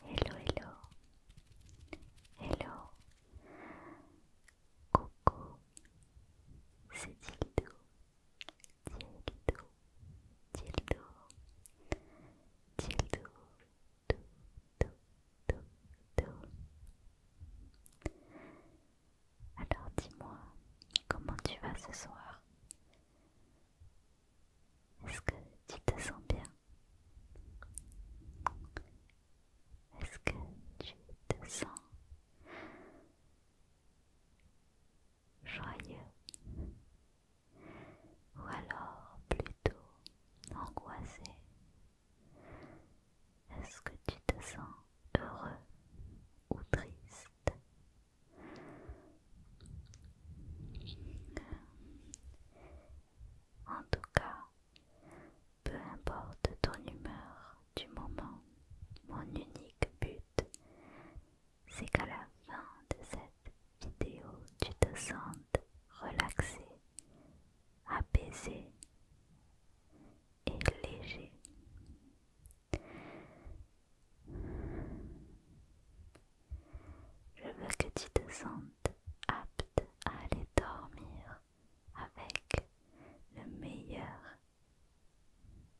Hello, hello, hello, coucou, c'est Tildou, Dildo, Dildo, Dildo, do, dou, dou, dou Alors dis-moi, comment tu vas ce soir est-ce que tu te sens bien Est-ce que tu te sens joyeux Ou alors plutôt angoissé Est-ce que tu te sens heureux ou triste en tout cas, peu importe ton humeur du moment, mon unique but, c'est qu'à la fin de cette vidéo, tu te sentes relaxé, apaisé et léger. Je veux que tu te sentes apte à aller dormir avec le meilleur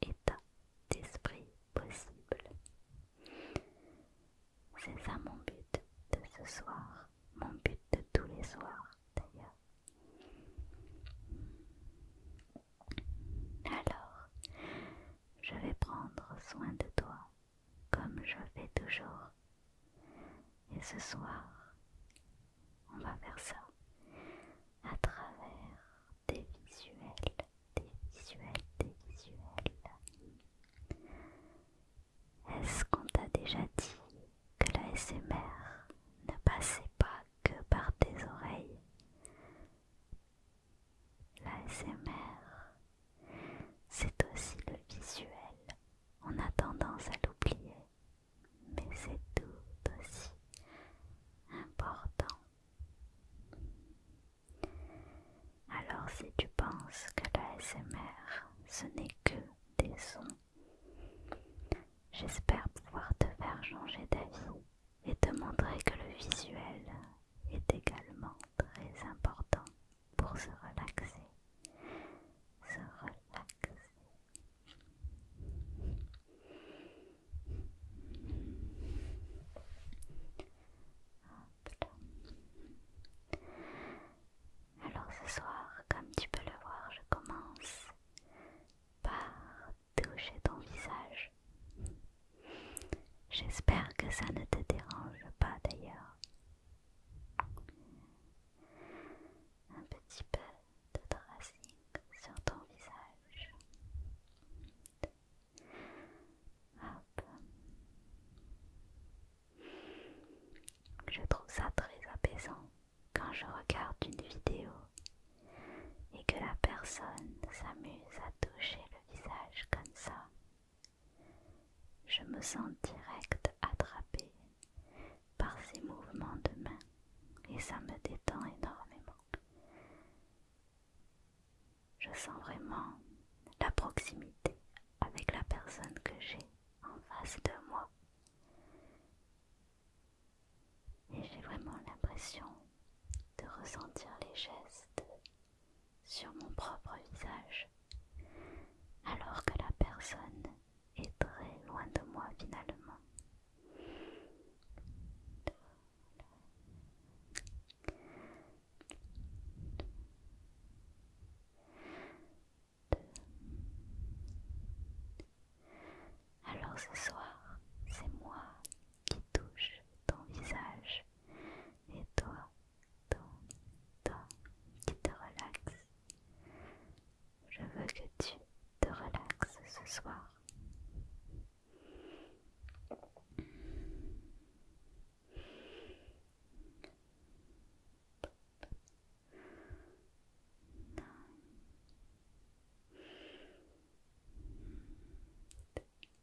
état d'esprit possible. C'est ça mon but de ce soir, mon but de tous les soirs d'ailleurs. Alors, je vais prendre soin de toi comme je fais toujours. Et ce soir, on va faire ça à travers tes visuels, des visuels, des visuels. Est-ce qu'on t'a déjà dit que la SMR ne passait pas que par tes oreilles La SMR c'est aussi le visuel. On a tendance à l'oublier, mais c'est tout aussi important. Alors si tu penses que la ce n'est que des sons, j'espère pouvoir te faire changer d'avis et te montrer que le visuel est également très important pour se relaxer. Se relaxer. Alors ce soir, comme tu peux le voir, je commence par toucher ton visage J'espère que ça ne te dérange pas d'ailleurs. Un petit peu de tracing sur ton visage. Je trouve ça très apaisant quand je regarde une vidéo et que la personne s'amuse à toucher le visage comme ça. Je me sens direct attrapée par ces mouvements de main et ça me détend énormément. Je sens vraiment la proximité avec la personne que j'ai en face de moi. Et j'ai vraiment l'impression de ressentir les gestes sur mon propre visage, alors que la personne est très loin de moi finalement. Alors ce soir, c'est moi qui touche ton visage et toi ton tu te relaxes. Je veux que tu te relaxes ce soir tout,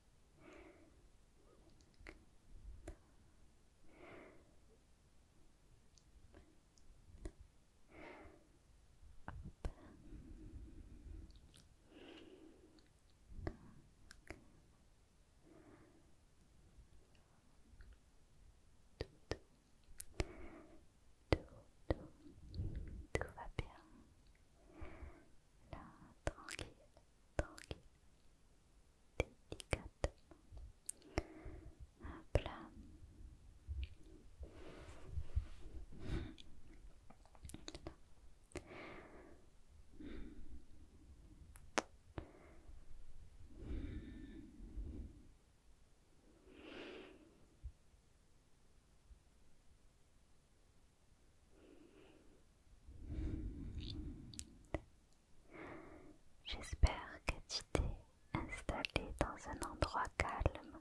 va bien. Là, tranquille. Donc, délicatement. Hop plat. J'espère que tu t'es installé dans un endroit calme,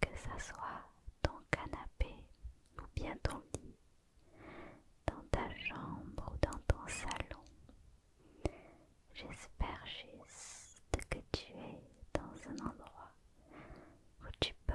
que ça soit ton canapé ou bien ton lit, dans ta chambre ou dans ton salon. J'espère juste que tu es dans un endroit où tu peux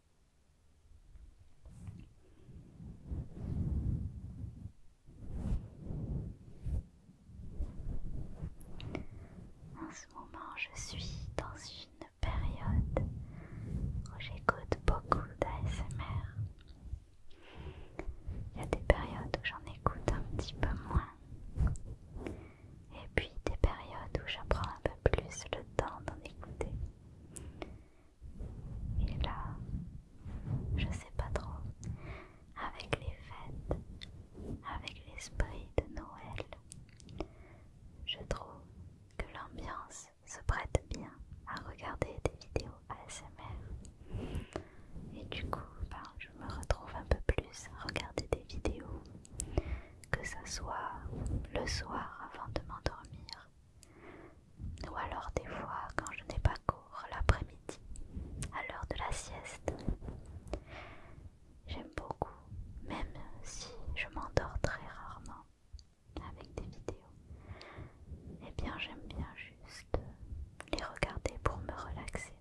En ce moment, je suis dans une période où j'écoute beaucoup d'ASMR. Il y a des périodes où j'en écoute un petit peu moins. Et puis des périodes où j'apprends un peu plus le temps d'en écouter. Et là, je sais pas trop, avec les fêtes, avec l'esprit de Noël, je trouve que l'ambiance se prête bien à regarder des vidéos ASMR. Et du coup, ben, je me retrouve un peu plus à regarder des vidéos, que ce soit le soir avant de m'endormir ou alors des fois quand je n'ai pas cours l'après-midi, à l'heure de la sieste. J'aime beaucoup, même si je m'endors très rarement avec des vidéos. Eh bien j'aime bien juste les regarder pour me relaxer.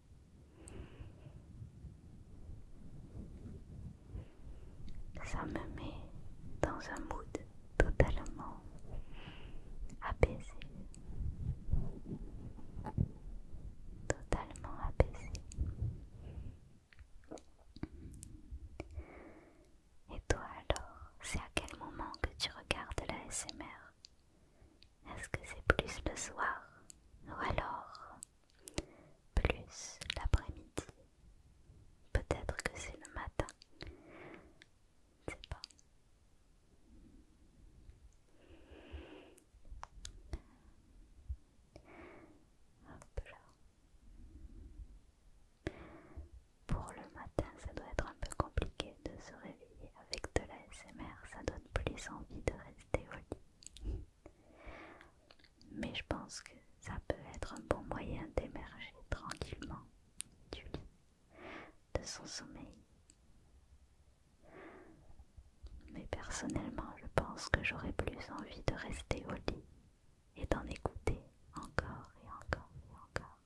Ça me met dans un mood totalement apaisé, totalement apaisé. Et toi alors, c'est à quel moment que tu regardes la SMR Est-ce que c'est plus le soir ou alors plus l'après-midi Peut-être que c'est le matin. Je ne sais pas. Pour le matin, ça doit être un peu compliqué de se réveiller avec de la SMR, ça donne plus envie de rester au lit. Mais je pense que ça peut être un bon moyen d'émerger tranquillement de son sommeil. Mais personnellement, je pense que j'aurais plus envie de rester au lit et d'en écouter encore et encore et encore.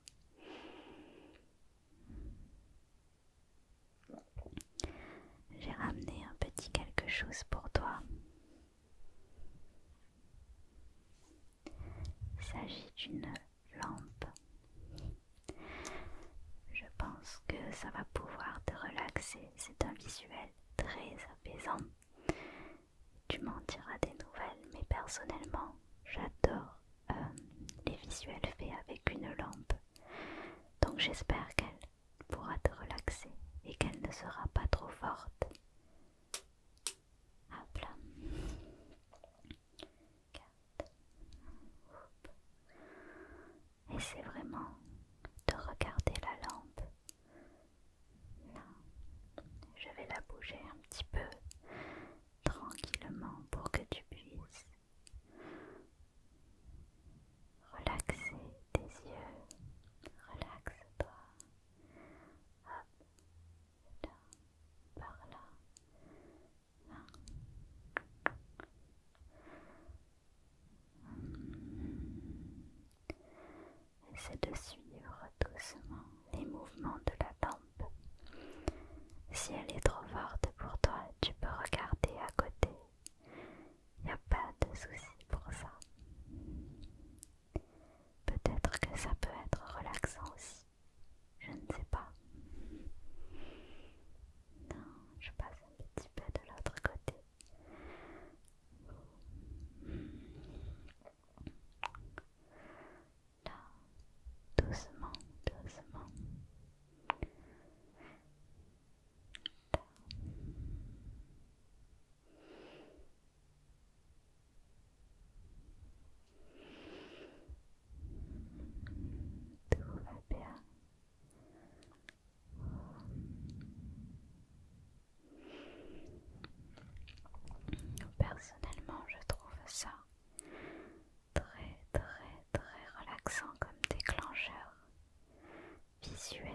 J'ai ramené un petit quelque chose pour toi. Il s'agit d'une lampe. Je pense que ça va pouvoir te relaxer. C'est un visuel très apaisant. Tu m'en diras des nouvelles, mais personnellement, j'adore euh, les visuels faits avec une lampe. Donc j'espère qu'elle pourra te relaxer et qu'elle ne sera pas trop forte. Hop là. 4. Et c'est vraiment de regarder la lampe. Là, je vais la bouger un petit peu tranquillement pour que tu puisses relaxer tes yeux. Relaxe-toi. Hop là, par là, là. de suivre doucement les mouvements de la tempe. Si elle est trop forte pour toi, tu peux regarder à côté. Il n'y a pas de souci pour ça. Peut-être que ça peut être relaxant aussi. Je ne sais pas. Non, je passe un petit peu de l'autre côté. Là, doucement, doucement. Tout va Personnellement, je trouve ça très très très relaxant comme déclencheur visuel.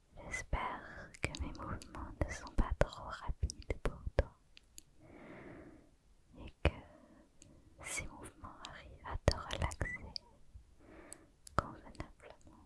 J'espère que mes mouvements ne sont pas trop rapides pour toi et que ces mouvements arrivent à te relaxer convenablement.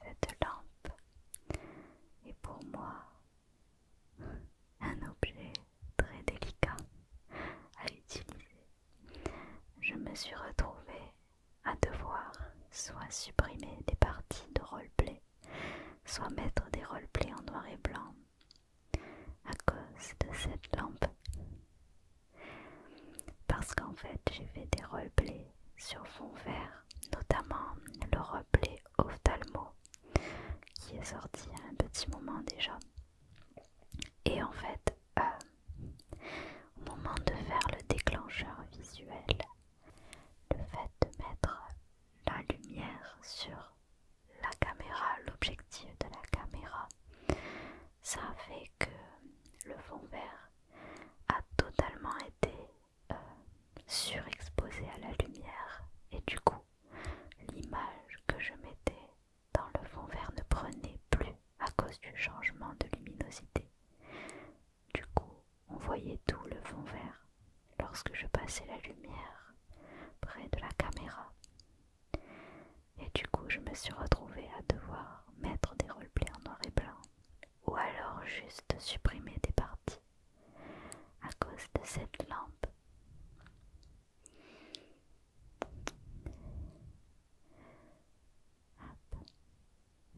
Cette lampe est pour moi un objet très délicat à utiliser, je me suis retrouvée à devoir soit supprimer des parties de roleplay, soit mettre des roleplays en noir et blanc à cause de cette lampe. Parce qu'en fait, j'ai fait des roleplays sur fond vert, notamment le roleplay Ophtalmo, qui est sorti à un petit moment déjà. Et en fait, euh, au moment de faire le déclencheur visuel, le fait de mettre la lumière sur la caméra, l'objectif de la caméra, ça fait que le fond vert a totalement été euh, surexposé à la lumière et du coup L'image que je mettais dans le fond vert ne prenait plus à cause du changement de luminosité. Du coup, on voyait tout le fond vert lorsque je passais la lumière près de la caméra. Et du coup, je me suis retrouvée à devoir mettre des roleplays en noir et blanc ou alors juste supprimer des parties à cause de cette lampe.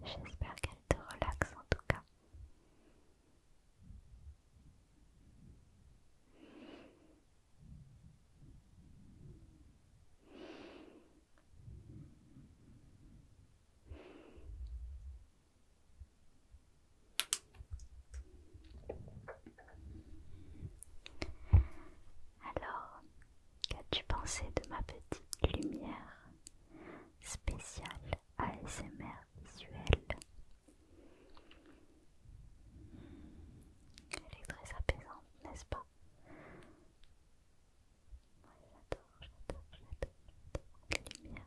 J'espère qu'elle te relaxe en tout cas. Alors, qu'as-tu pensé de ma petite lumière spéciale ASMR visuelle Elle est très apaisante, n'est-ce pas j'adore, j'adore, j'adore, lumière.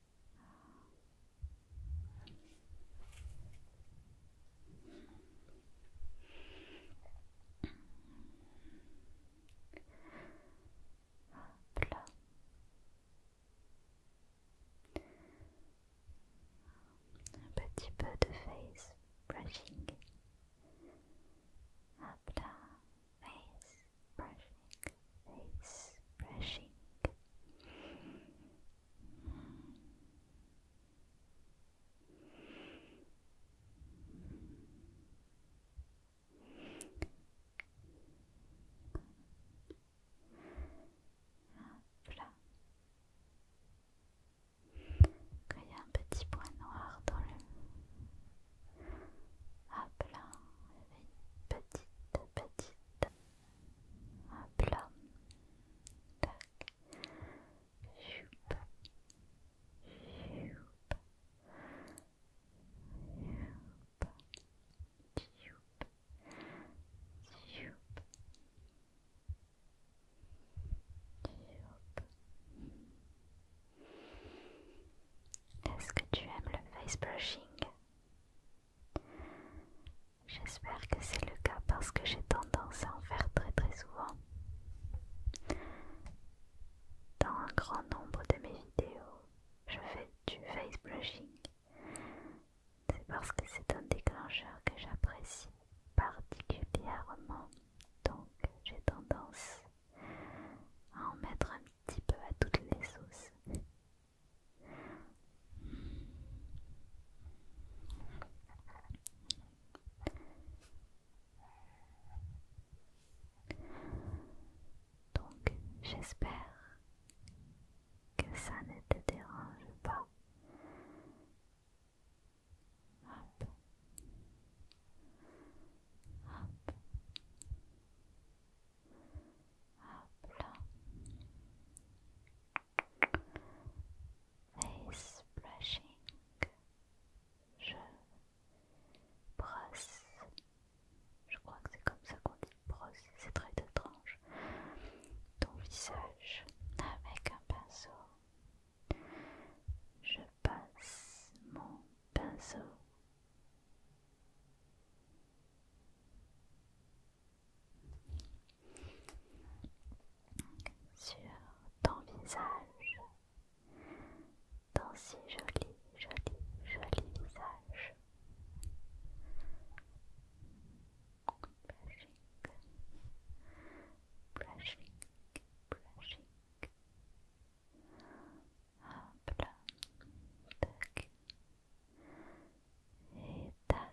Hop là. Un petit peu de face brushing. Face brushing. Face brushing. il y a un petit point noir dans le... Hop là, une petite, petite Hop là. Tac. Choup. Choup. Choup. Choup. Choup. Est-ce que tu aimes le face brushing J'espère que c'est le cas parce que j'ai tendance à en faire très très souvent dans un grand nombre de mes vidéos. Je fais du face blushing. C'est parce que c'est un déclencheur que j'apprécie particulièrement. Donc j'ai tendance à en mettre un petit peu à toutes les sauces. Donc j'espère que ça ne te dérange pas. Face brushing. Je brosse. Je crois que c'est comme ça qu'on dit brosse. C'est très étrange. Ton visage avec un pinceau. Je passe mon pinceau sur ton visage, ton si joli, joli, joli visage. blushing, blushing brushing. plat tac. Et tac,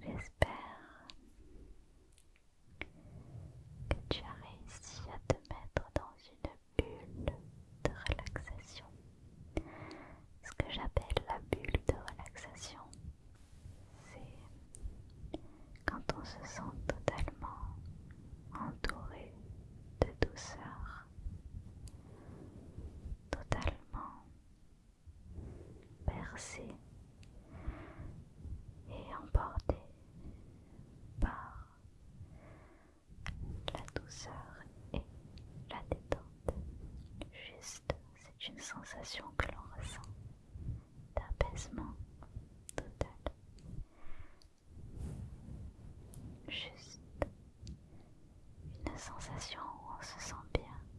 J'espère que tu as réussi à te mettre dans une bulle de relaxation. Ce que j'appelle la bulle de relaxation, c'est quand on se sent totalement entouré de douceur, totalement percé et emporté par la douceur et la détente. Juste, c'est une sensation que l'on ressent d'apaisement total. Juste une sensation où on se sent bien,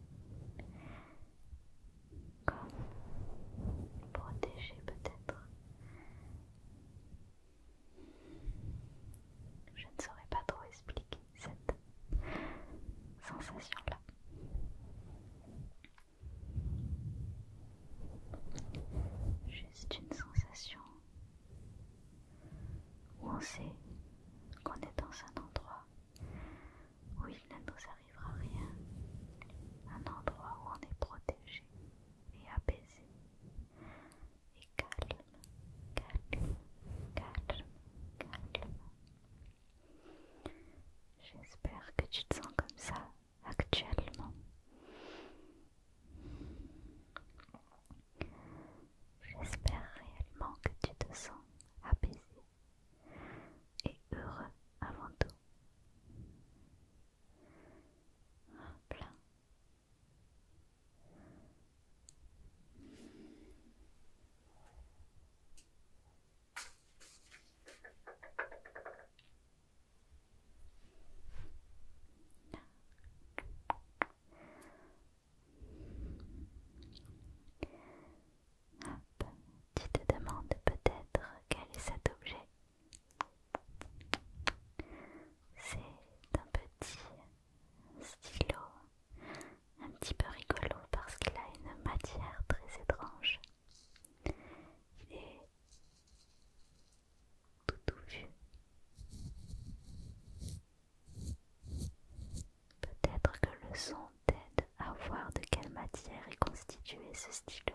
comme protégé peut-être. Je ne saurais pas trop expliquer cette sensation-là. Juste une sensation où on sait qu'on est dans un endroit où il ne nous arrivera rien, un endroit où on est protégé et apaisé, et calme, calme, calme, calme. J'espère que tu te sens comme ça actuellement. J'espère réellement que tu te sens apaisé et heureux avant tout. Plein. Hop, tu te demandes peut-être quel est cet objet. C'est un petit stylo, un petit peu rigolo parce qu'il a une matière très étrange. et tout vu. Peut-être que le son t'aide à voir de quelle matière est constitué ce stylo.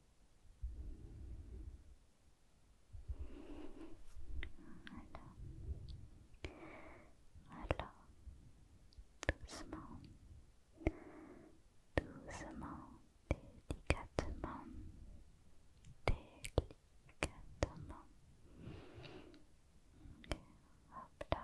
Voilà. Doucement. Doucement. Délicatement. Délicatement. Hop là.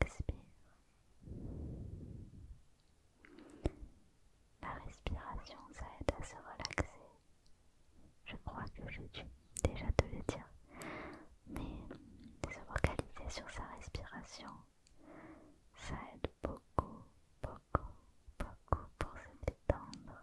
Expire. La respiration, ça aide à se relaxer. Je crois que je dû déjà te le dire. Mais se focaliser sur sa respiration, ça aide beaucoup, beaucoup, beaucoup pour se détendre.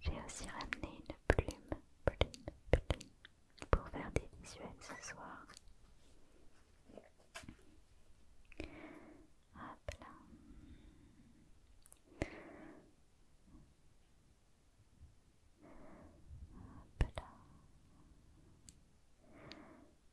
J'ai aussi ramené une plume, plume, plume pour faire des visuels ce soir.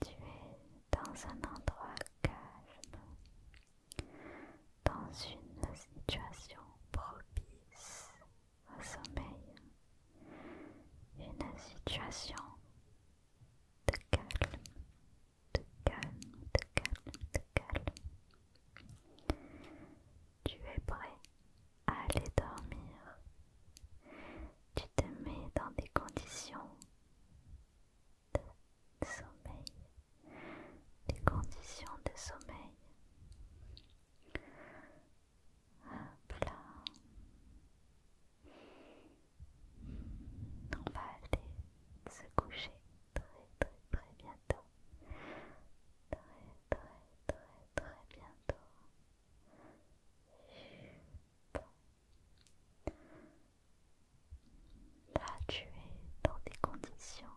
Tu es dans un endroit calme, dans une situation propice un sommeil, une situation de calme, de calme, de calme, de calme. Tu es prêt à aller dormir. Tu te mets dans des conditions de sommeil, des conditions de sommeil. Un là. On va aller se coucher très très très bientôt. Très très très très bientôt. Là tu es dans des conditions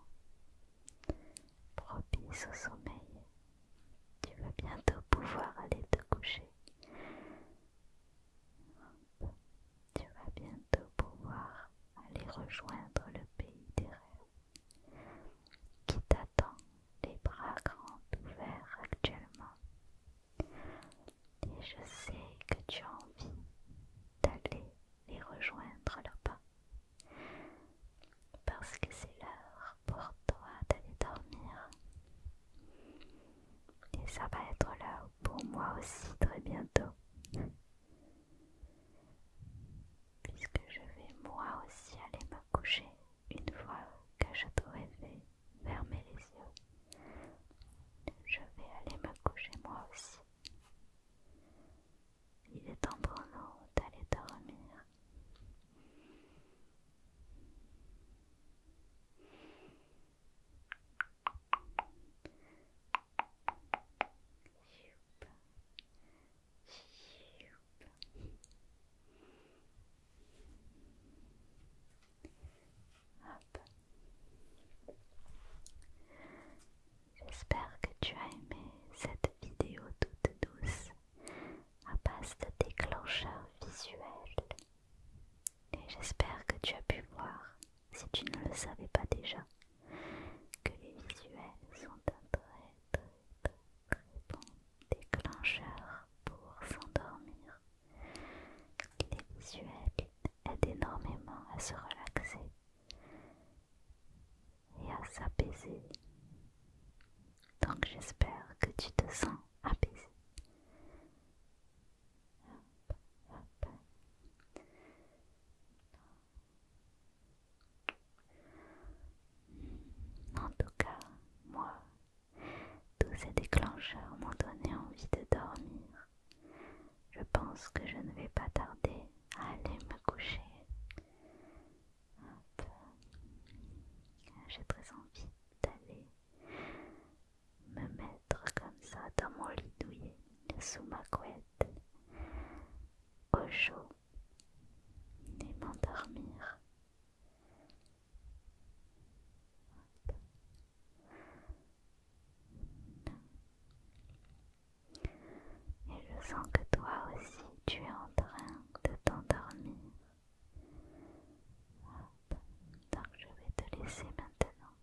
propices au sommeil. Tu vas bientôt pouvoir aller te coucher. Tu vas bientôt pouvoir aller rejoindre le pays des rêves qui t'attend les bras grands ouverts actuellement. Et je sais que tu as envie d'aller les rejoindre là-bas parce que c'est l'heure pour toi d'aller dormir. Et ça va être là pour moi aussi très bientôt. Puisque je vais moi aussi aller me coucher une fois que je t'aurai fait fermer les yeux. Je vais aller me coucher moi aussi. Il est temps pour nous d'aller dormir. J'espère que tu as aimé cette vidéo toute douce à base de déclencheurs visuels. Et j'espère que tu as pu voir, si tu ne le savais pas déjà, que les visuels sont un très très très très bon déclencheur pour s'endormir. Les visuels aident énormément à se relaxer et à s'apaiser. Donc j'espère que tu te sens apaisé. En tout cas, moi, tous ces déclencheurs m'ont donné envie de dormir. Je pense que je ne vais pas tarder à aller me coucher. Hop. J'ai très envie d'aller me mettre comme ça dans mon lit douillet, sous ma couette, au chaud et m'endormir. Et je sens que toi aussi tu es en train de t'endormir. Donc je vais te laisser maintenant.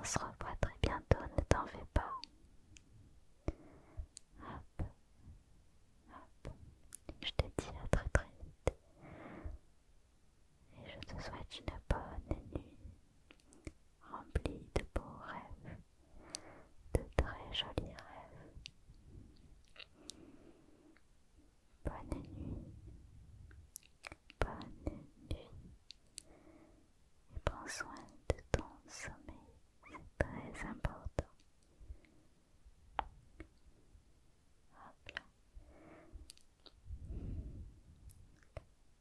On se revoit très bientôt, ne t'en fais pas. Hop. Hop. Je te dis à très très vite. Et je te souhaite une bonne nuit remplie de beaux rêves de très jolis rêves. Bonne nuit, bonne nuit, et prends soin de ton sommeil, c'est très important. A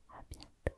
À bientôt.